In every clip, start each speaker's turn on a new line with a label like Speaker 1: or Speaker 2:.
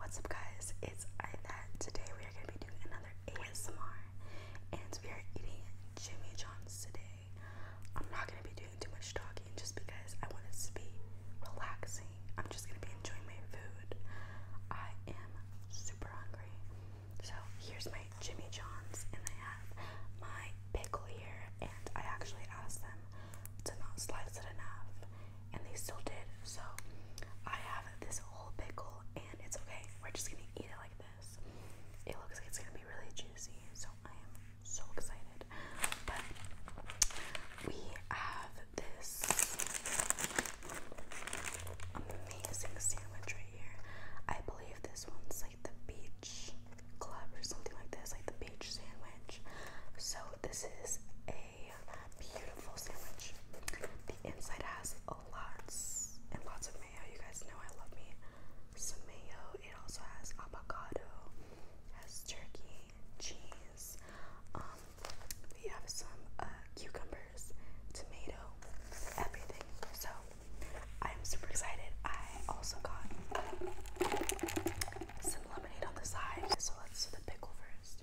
Speaker 1: What's up guys, it's Ida. Today we are going to be doing another ASMR and we are eating Jimmy John's today. I'm not going to be doing too much talking just because I want this to be relaxing. I'm just going to be enjoying my food. I am super hungry. So here's my Jimmy John's and I have my pickle here and I actually asked them to not slice it enough and they still did. So I have this whole pickle, and it's okay. We're just gonna eat it like this. It looks like it's gonna be really juicy, so I am so excited. But we have this amazing sandwich right here. I believe this one's like the beach club or something like this, like the beach sandwich. So this is a beautiful sandwich. The inside has lots and lots of mayo. You guys know I love me some mayo. It also has avocado, has turkey, cheese. Um, we have some uh, cucumbers, tomato, everything. So I'm super excited. I also got some lemonade on the side. So let's do the pickle first.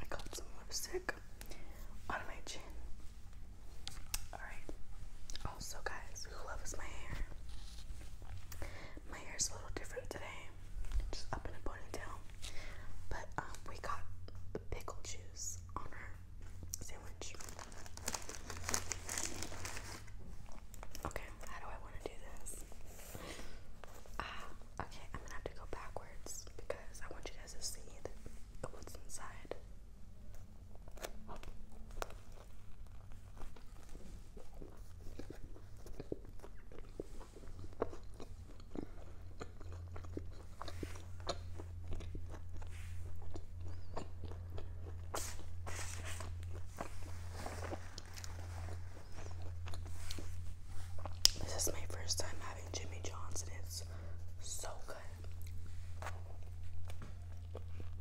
Speaker 1: I got some lipstick on my chin Alright. Also oh, guys, who loves my hair? My hair is a little different today. Just up in a ponytail. But um, we got pickle juice on our sandwich. Okay, how do I want to do this? Uh, okay, I'm gonna have to go backwards because I want you guys to see what's inside. This is my first time having Jimmy John's, and it's so good.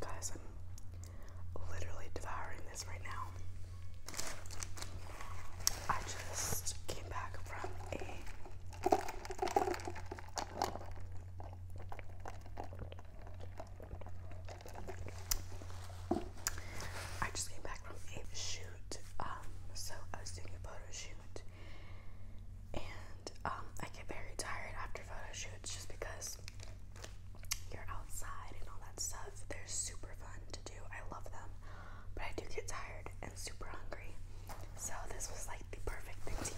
Speaker 1: Guys, I'm literally devouring this right now. I just came back from a I just came back from a shoot. Um, so I was doing a photo shoot and um I get very tired after photo shoots just because you're outside and all that stuff. They're super fun to I love them, but I do get tired and super hungry. So this was like the perfect thing to eat.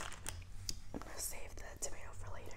Speaker 1: I'm gonna save the tomato for later.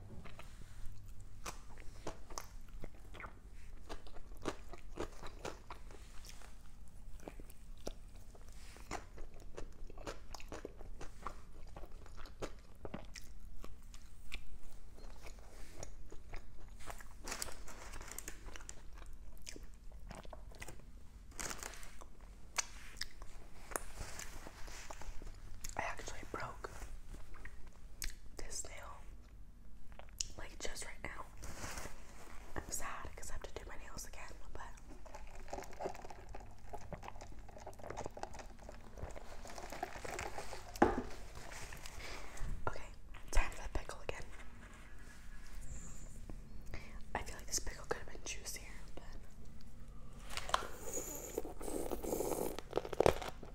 Speaker 1: I actually broke this nail, like just right now. I'm sad because I have to do my nails again, but okay, time for the pickle again. I feel like this pickle could have been juicier,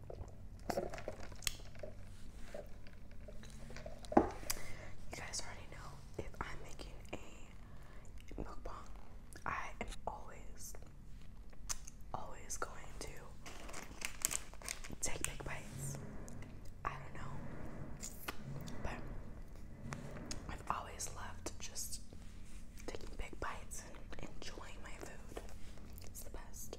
Speaker 1: You guys already know if I'm making a mukbang, I am always, always going to take big bites. I don't know, but I've always loved just taking big bites and enjoying my food. It's the best.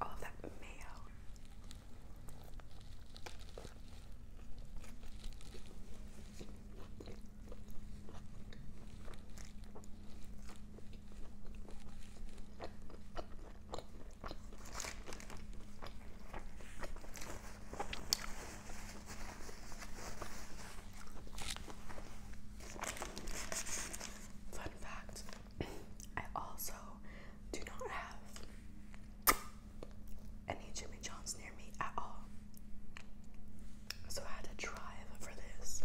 Speaker 1: All of that mayo. Fun fact I also do not have any Jimmy John's near me at all. So I had to drive for this.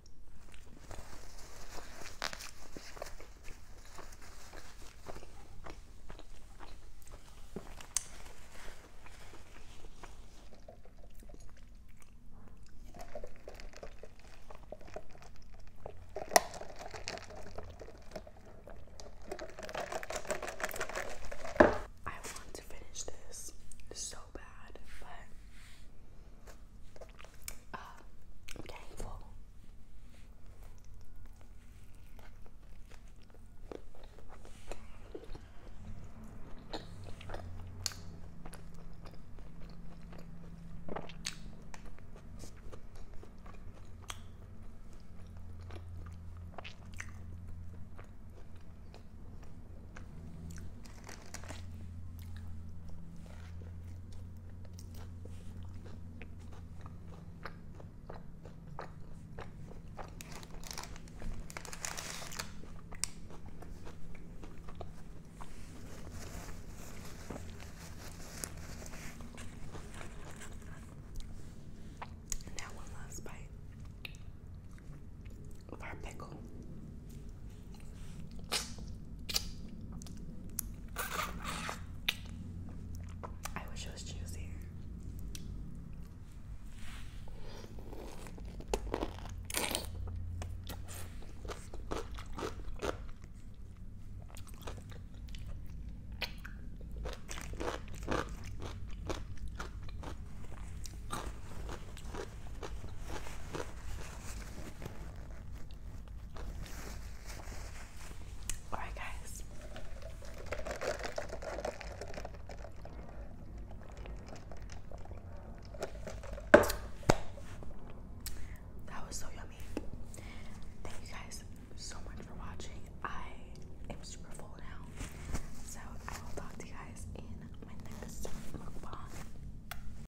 Speaker 1: I want to finish this so bad, but uh, ah, i now one last bite of our pickle. I wish it was juicy. Alright, guys. That was so yummy. Thank you guys so much for watching. I am super full now. So I will talk to you guys in my next mukbang.